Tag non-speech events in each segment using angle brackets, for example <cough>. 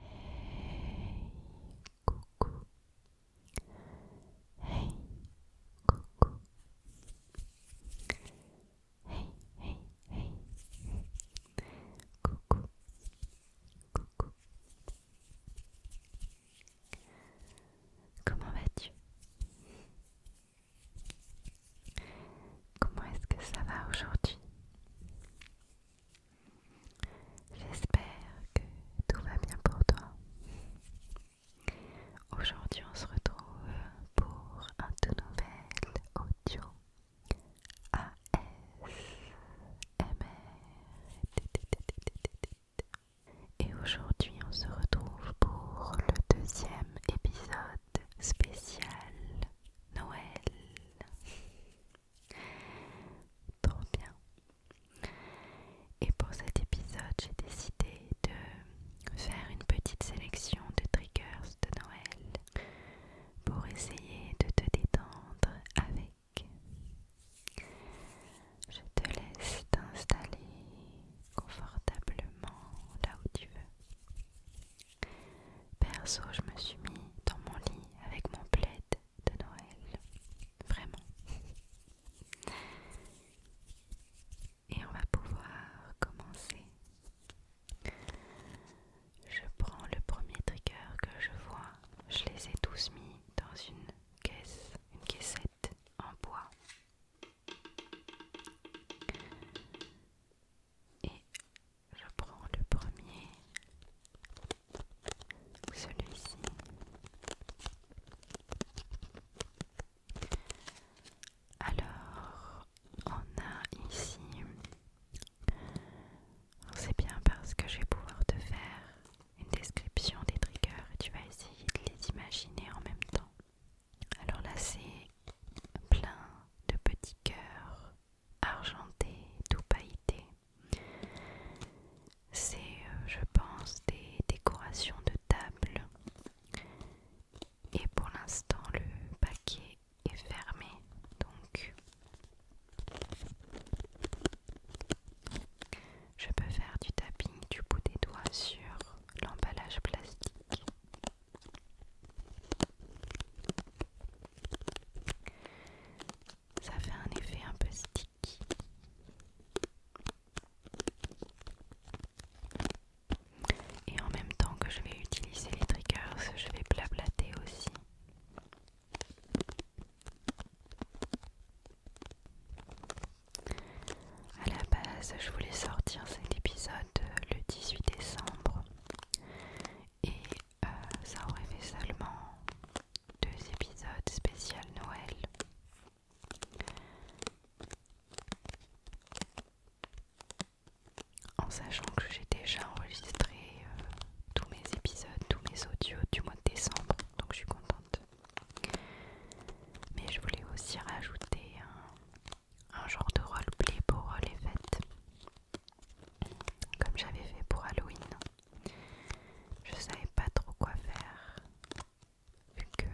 Hey coucou. Hey coucou. Hey hey hey. Coucou. Coucou. Comment vas-tu Comment est-ce que ça va aujourd'hui J'espère que tout va bien pour toi. Aujourd'hui, on se retrouve pour un tout nouvel audio ASMR. Et aujourd'hui, on se retrouve pour le deuxième épisode spécial Noël. Trop bien. Et pour cet épisode, j'ai décidé de faire une petite sélection de triggers de Noël pour essayer de te détendre avec. Je te laisse t'installer confortablement là où tu veux. Perso, je me suis mis dans mon lit avec mon plaid de Noël. Vraiment. Et on va pouvoir commencer. Je prends le premier trigger que je vois. Je les ai tous mis dans une caisse, une caissette en bois et je prends le premier, celui-ci. Alors, on a ici, c'est bien parce que je vais pouvoir te faire une description des triggers et tu vas essayer de les imaginer en même temps. Alors là, c'est plein de petits cœurs argenté, tout pailleté. C'est, euh, je pense, des décorations de table. Et pour l'instant, le paquet est fermé. Donc, je peux faire du tapping du bout des doigts sur l'emballage plastique. Ça fait un effet un peu sticky. Et en même temps que je vais utiliser les triggers, je vais blablater aussi. À la base, je voulais sortir cet épisode le 18 décembre et euh, ça aurait fait seulement deux épisodes spécial Noël. En sachant que j'ai déjà enregistré euh, tous mes épisodes, tous mes audios du mois de décembre, donc je suis contente. Mais je voulais aussi rajouter un, un genre de roleplay pour euh, les fêtes comme j'avais fait pour Halloween. Je savais pas trop quoi faire vu que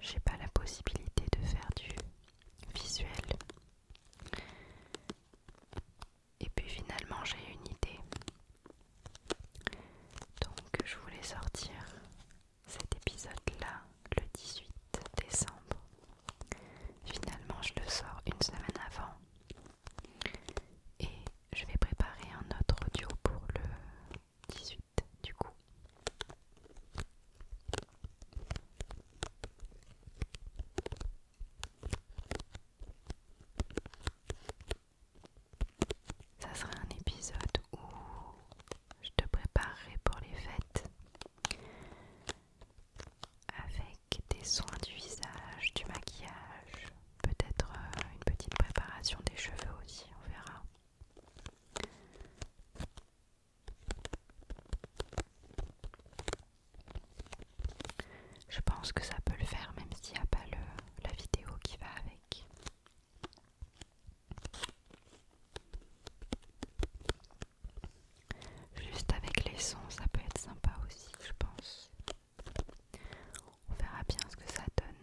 j'ai pas la possibilité de faire du visuel. Et puis finalement j'ai une idée. Donc je voulais sortir cet épisode-là le 18 décembre Finalement, je le sors une semaine avant et je vais préparer un autre audio pour le 18 du coup. Ça sera un épisode où je te préparerai pour les fêtes avec des soins du visage, du maquillage, peut-être euh, une petite préparation des cheveux aussi, on verra. Je pense que ça peut le faire même s'il n'y a pas le, la vidéo qui va avec. Juste avec les sons, ça peut être sympa aussi, je pense. On verra bien ce que ça donne.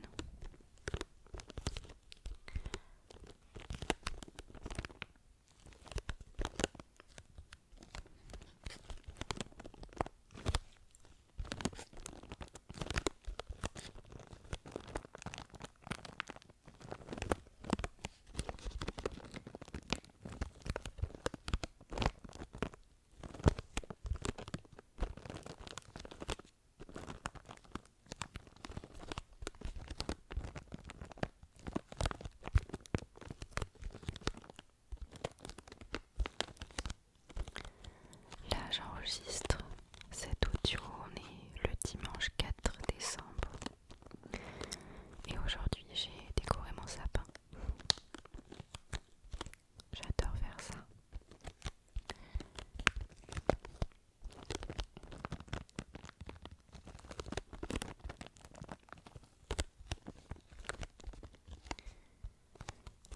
Là, j'enregistre cette audio, journée le dimanche 4 décembre et aujourd'hui, j'ai décoré mon sapin. J'adore faire ça.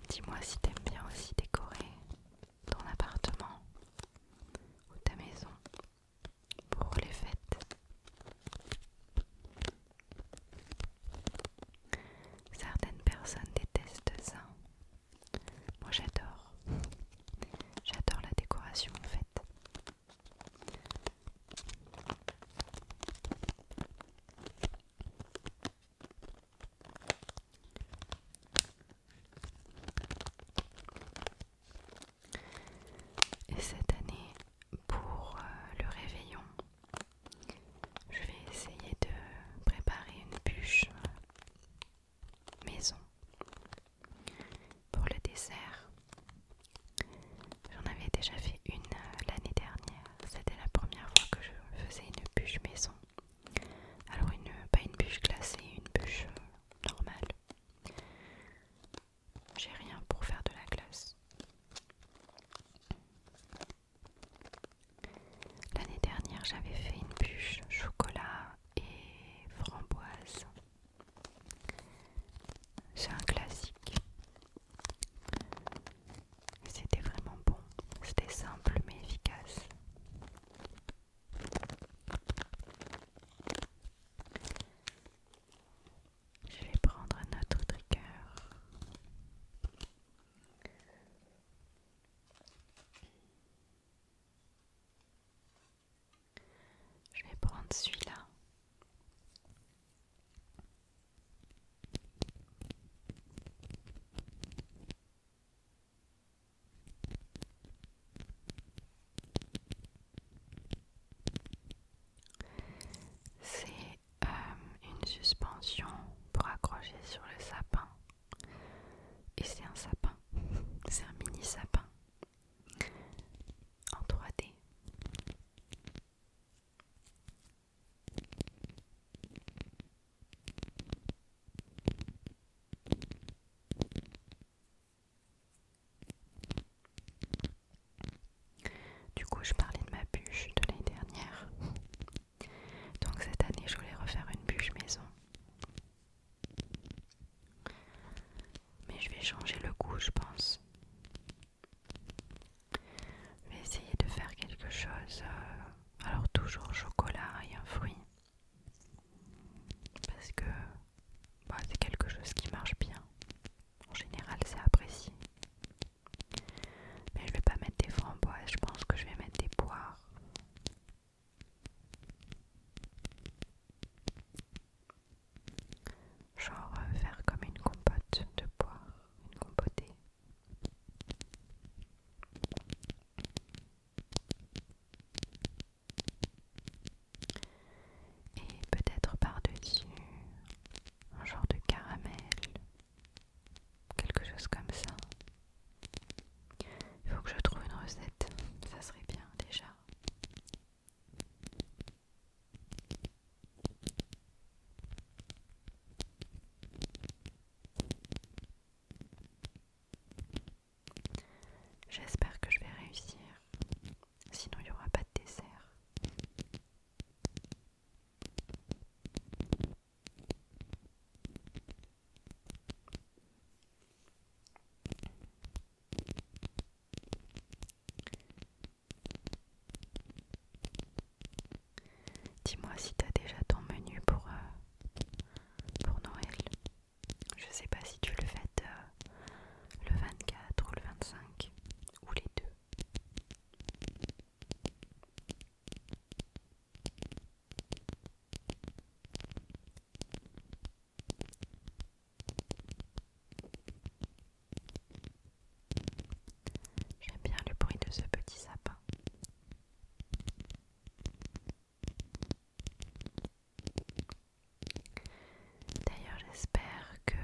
Dis-moi si t'aimes bien aussi décorer ton appartement ou ta maison pour les fêtes. Certaines personnes détestent ça. Moi j'adore. J'adore la décoration en fait. Et cette année, pour euh, le réveillon, je vais essayer de préparer une bûche euh, maison pour le dessert. J'en avais déjà fait une euh, l'année dernière. C'était la première fois que je faisais une bûche maison. Alors pas une bûche glacée, une bûche normale. J'ai rien pour faire de la glace. L'année dernière, j'avais fait une bûche chocolat et framboise. C'est un classique. C'était vraiment bon. C'était simple mais efficace. Je vais prendre un autre trigger. Je vais prendre celui-là. C'est euh, une suspension pour accrocher sur le sapin. Et c'est un sapin. <laughs> C'est un mini sapin. En 3D. Du coup, je parlais de ma bûche de l'année dernière. Donc cette année, je voulais refaire une bûche maison. Mais je vais changer le goût, je pense. Je vais essayer de faire quelque chose. Euh, alors toujours chocolat et un fruit. Parce que bah, c'est quelque chose qui marche bien. En général, c'est apprécié. Mais je vais pas mettre des framboises, je pense que je vais mettre des poires. Genre euh, faire comme une compote de poire, une compotée. Et peut-être par-dessus un genre de caramel, quelque chose comme ça. Il faut que je trouve une recette, ça serait bien déjà. J'espère que je vais réussir, sinon il n'y aura pas de dessert. Dis-moi si as déjà ton menu pour euh, Noël. Je sais pas si tu le fais euh, le le 24 ou le 25 ou les deux. J'aime bien le bruit de ce petit sapin. D'ailleurs, j'espère que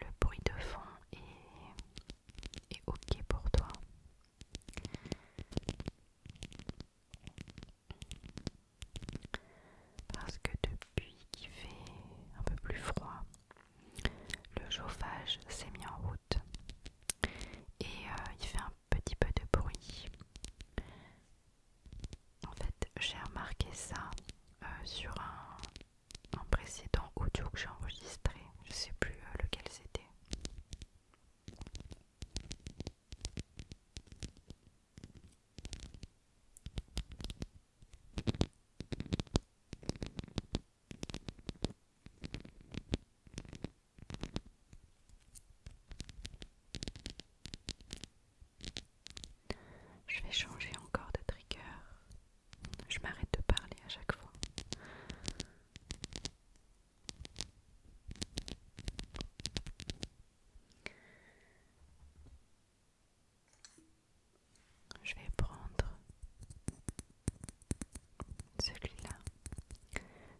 le bruit de fond est, ok pour toi. Parce que depuis qu'il fait un peu plus froid, le chauffage s'est mis en route et euh, il fait un petit peu de bruit. En fait, j'ai remarqué ça euh, sur un, précédent audio que j'ai enregistré. Je sais plus euh, lequel c'était. Je vais changer encore de trigger. Je m'arrête de parler à chaque fois. Je vais prendre celui-là.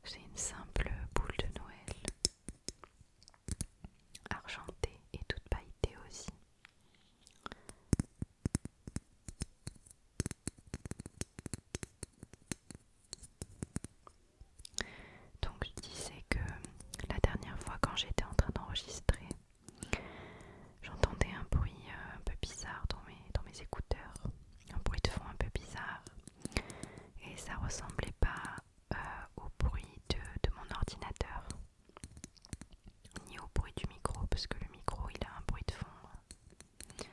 C'est une simple boule de Noël argentée et toute pailletée aussi. Donc je disais que la dernière fois quand j'étais en train d'enregistrer, j'entendais un bruit euh, un peu bizarre dans mes, dans mes écouteurs, un bruit de fond un peu bizarre et ça ressemblait pas euh, au bruit de, mon ordinateur, ni au bruit du micro, parce que le micro il a un bruit de fond,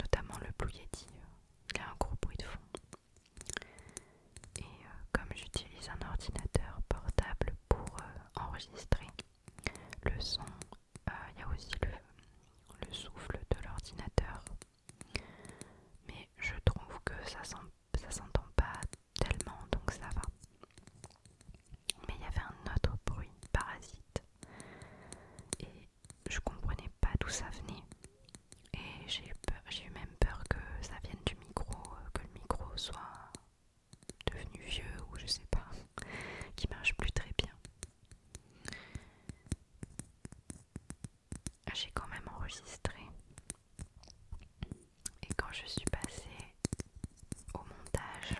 notamment le Blue euh, il a un gros bruit de fond. Et euh, comme j'utilise un ordinateur portable pour enregistrer le son, il y a aussi le souffle de l'ordinateur mais je trouve que ça s'entend pas tellement, donc ça va. Mais il y avait un autre bruit parasite. Et je comprenais pas d'où ça venait. Et j'ai eu, eu même peur que ça vienne du micro, euh, que le micro soit devenu vieux ou je sais pas, <laughs> qui marche plus très bien. Ah, j'ai quand même enregistré. Et quand je suis passée au montage,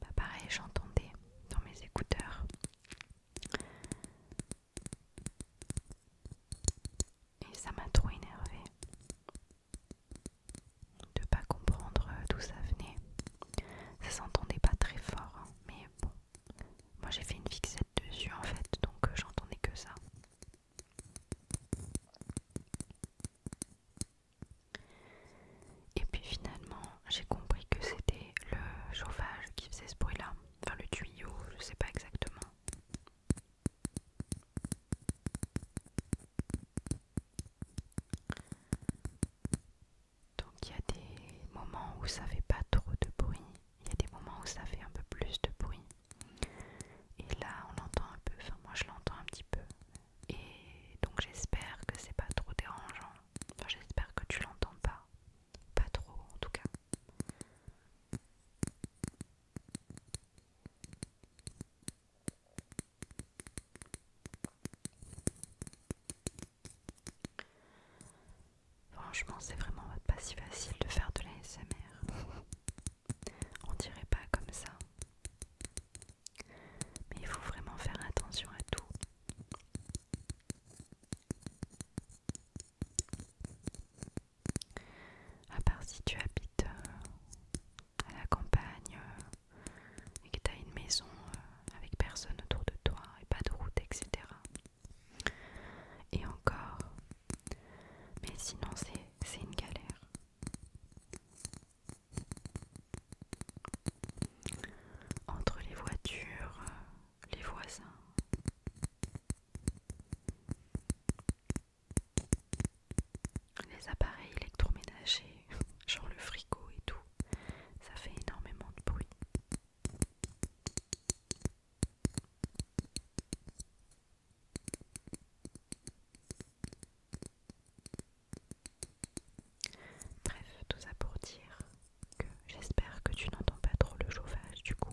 bah, pareil, j'entendais dans mes écouteurs. Et ça m'a trop énervée de pas comprendre d'où ça venait. Ça s'entendait pas très fort, hein, mais bon, moi j'ai fait une fixette dessus en fait, donc euh, j'entendais que ça. Et puis finalement, j'ai compris que c'était le chauffage qui faisait ce bruit-là, enfin le tuyau, je sais pas exactement. Donc il y a des moments où ça fait pas trop de bruit, il y a des moments où ça fait un peu plus de bruit. Et là on l'entend un peu, enfin moi je l'entends un petit peu. Et donc j'espère que c'est pas trop dérangeant. Enfin, j'espère que tu l'entends pas. Pas trop en tout cas. Franchement, c'est vraiment pas si facile de faire de l'ASMR. On dirait pas comme ça. Mais il faut vraiment faire attention à tout. À part si tu habites euh, à la campagne euh, et que tu as une maison euh, avec personne autour de toi et pas de route, etc. Et encore, mais sinon c'est une galère. Entre les voitures, les voisins. Les appareils électroménagers, <laughs> genre le frigo et tout, ça fait énormément de bruit. Bref, tout ça pour dire que j'espère que tu n'entends pas trop le chauffage du coup.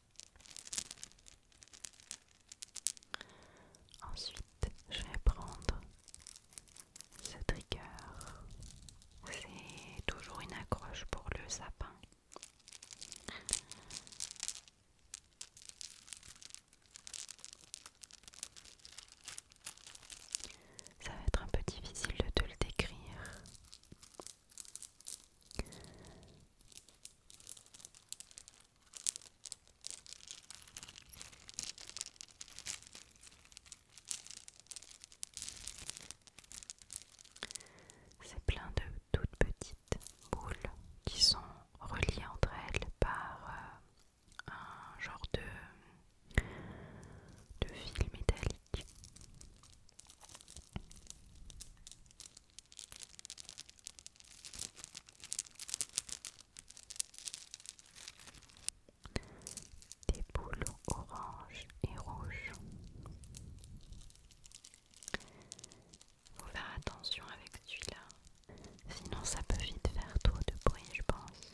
Ensuite, je vais prendre ce trigger. C'est toujours une accroche pour le sapin. Ça va être un peu difficile de te le décrire. C'est plein de toutes petites boules qui sont reliées entre elles par euh, un genre de, de fil métallique. Des boules orange et rouge. Faut faire attention avec celui-là, sinon ça peut vite faire trop de bruit, je pense.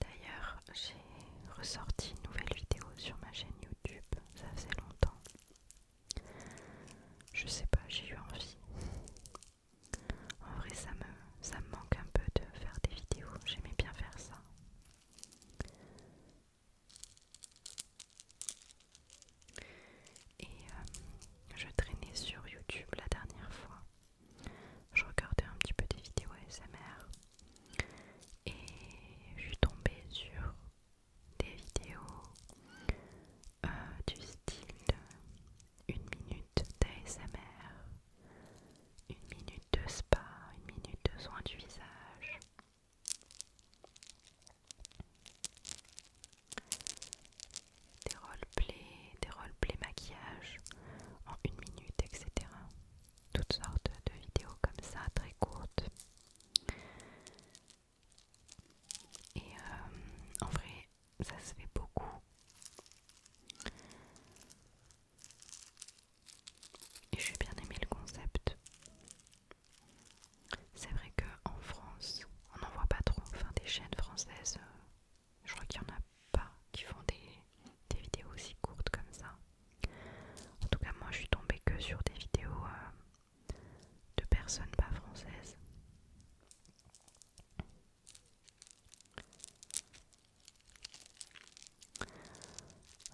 D'ailleurs, j'ai ressorti une nouvelle vidéo sur ma chaîne YouTube, ça faisait longtemps. Je sais pas, j'ai eu envie en vrai, ça me, ça me manque un peu de faire des vidéos. J'aimais bien faire ça. Et euh, je traînais sur YouTube la dernière fois. Je regardais un petit peu des vidéos ASMR. Et je suis tombée sur des vidéos euh, du style une minute d'ASMR, une minute de spa, une minute de soin du visage. Des roleplays, des roleplays maquillage en une minute, etc. Toutes sortes de vidéos comme ça, très courtes. Et euh, en vrai, ça se fait beaucoup. Et suis bien aimé le concept. C'est vrai qu'en France, on n'en voit pas trop. Enfin, des chaînes françaises, euh, je crois qu'il n'y en a pas qui font des, vidéos aussi courtes comme ça. En tout cas, moi, je suis tombée que sur des vidéos euh, de personnes pas françaises.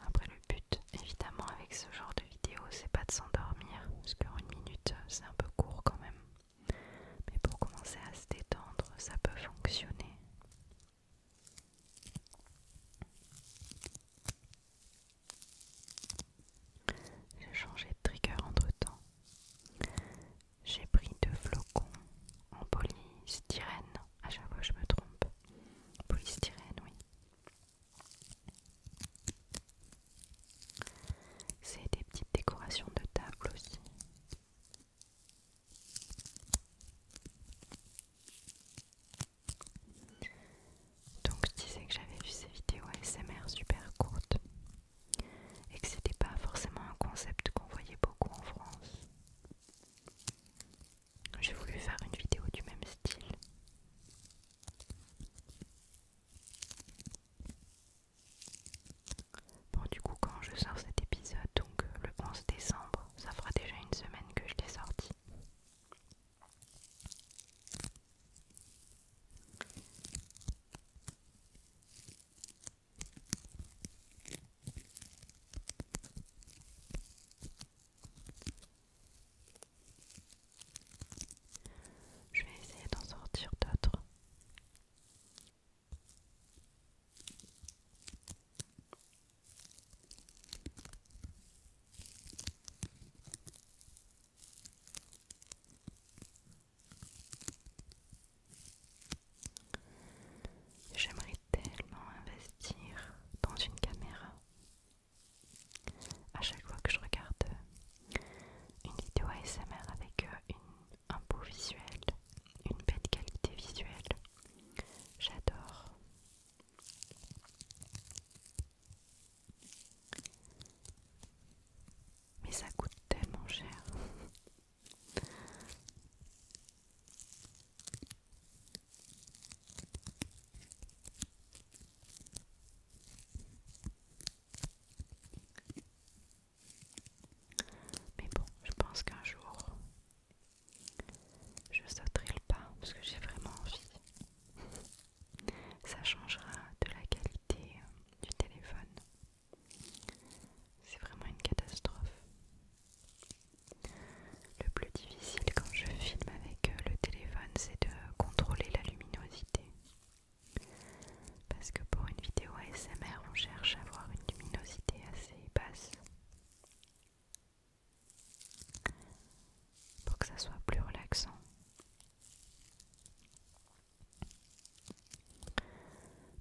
Après le but évidemment avec ce genre de vidéo c'est pas de s'endormir parce qu'en une minute c'est un peu court quand même. Mais pour commencer à se détendre ça peut fonctionner. J'ai changé de trigger entre temps. J'ai pris deux flocons en polystyrène. À chaque fois, je me trompe. Polystyrène, oui. C'est des petites décorations de table aussi. Donc je disais que j'avais vu ces vidéos ASMR super courtes et que c'était pas forcément un concept qu'on voyait beaucoup en France. J'ai voulu faire une vidéo du même style. Bon du coup quand je sors cet épisode, donc euh, le 11 décembre, ça fera déjà une semaine que je l'ai sorti. Je vais essayer d'en sortir d'autres. J'aimerais tellement investir dans une caméra. À chaque fois que je regarde une vidéo ASMR avec euh, un beau visuel, une belle qualité visuelle, j'adore. Mais ça coûte tellement cher. Mais bon, je pense qu'un jour, je sauterai le pas parce que j'ai vraiment envie. Ça changera de la qualité euh, du téléphone. C'est vraiment une catastrophe. Le plus difficile quand je filme avec euh, le téléphone, c'est de contrôler la luminosité. Parce que pour une vidéo ASMR, on cherche à avoir une luminosité assez basse. Pour que ça soit plus relaxant.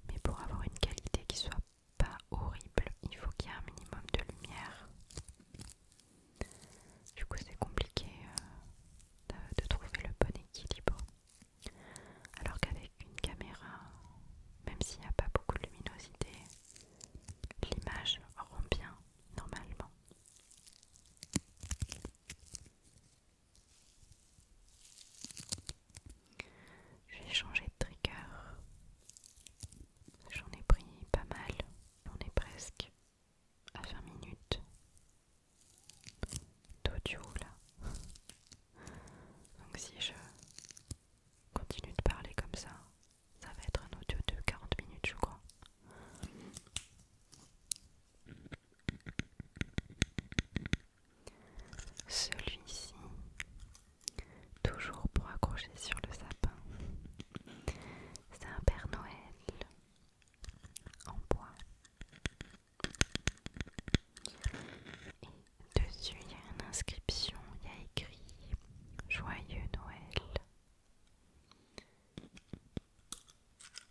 Mais pour avoir une qualité qui soit pas horrible, il faut qu'il y ait un minimum de lumière. Du coup, c'est compliqué euh, de, de trouver le bon équilibre. Alors qu'avec une caméra, même s'il n'y a pas beaucoup de luminosité, l'image rend bien normalement. J'ai changé de trigger. J'en ai pris pas mal. On est presque à 20 minutes d'audio là. Donc si je continue de parler comme ça, ça va être un audio de 40 minutes je crois. Celui-ci, toujours pour accrocher sur le sapin, c'est un Père Noël en bois. Et dessus, il y a une inscription, il y a écrit Joyeux Noël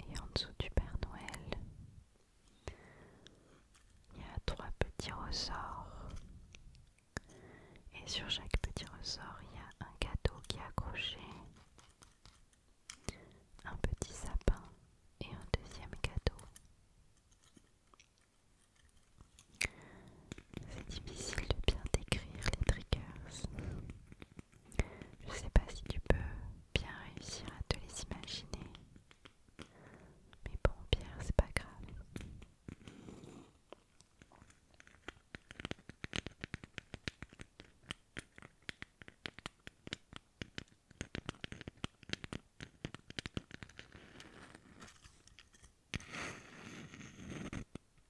Et en dessous du Père Noël, il y a trois petits ressorts. Et sur chaque petit ressort, il y a un cadeau qui est accroché, un petit sapin et un deuxième cadeau. C'est difficile de bien décrire les triggers. Je sais pas si tu peux bien réussir à te les imaginer. Mais bon, Pierre, c'est pas grave.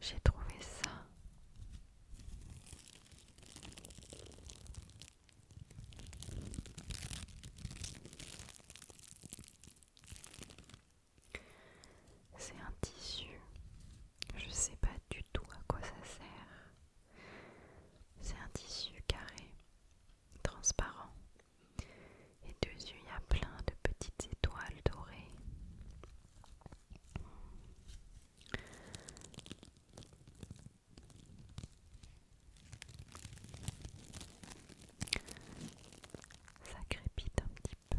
j'ai trouvé ça. C'est un tissu. Je sais pas du tout à quoi ça sert. C'est un tissu carré, transparent. Et dessus, il y a plein de petites étoiles dorées. Ça crépite un petit peu.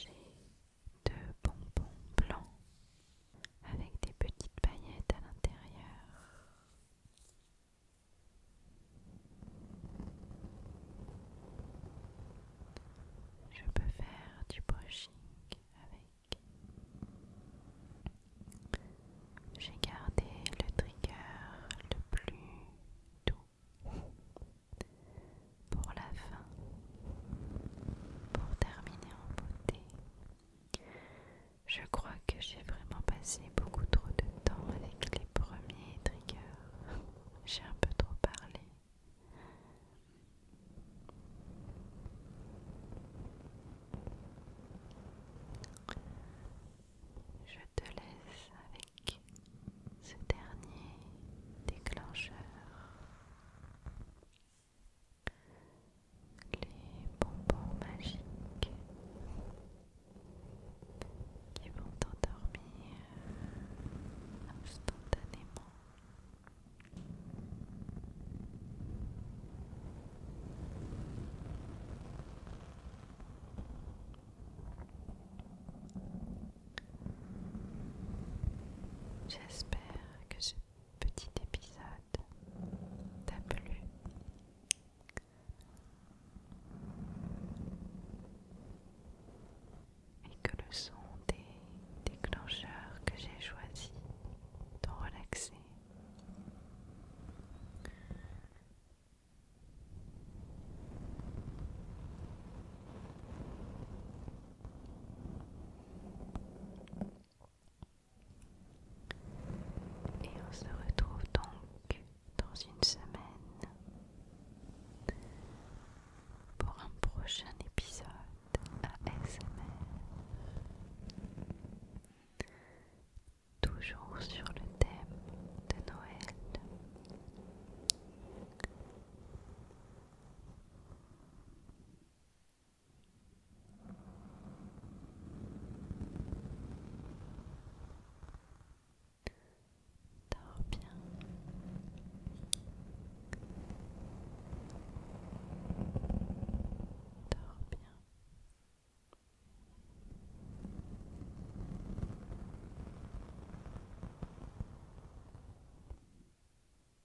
J'ai deux bonbons blancs avec des petites paillettes à l'intérieur. Je peux faire du brushing avec. J'ai gardé le trigger le plus doux pour la fin, pour terminer en beauté. Je crois que j'ai vraiment passé beaucoup trop de temps avec les premiers triggers. J'ai un peu trop parlé. Je te laisse avec ce dernier déclencheur les bonbons magiques qui vont endormir instantanément. J'espère que ce petit épisode et que le son des déclencheurs que j'ai choisi t'ont relaxer et on se retrouve donc dans une semaine pour un prochain épisode ASMR. Toujours sur le thème de Noël. Dors bien. Dors bien. bien.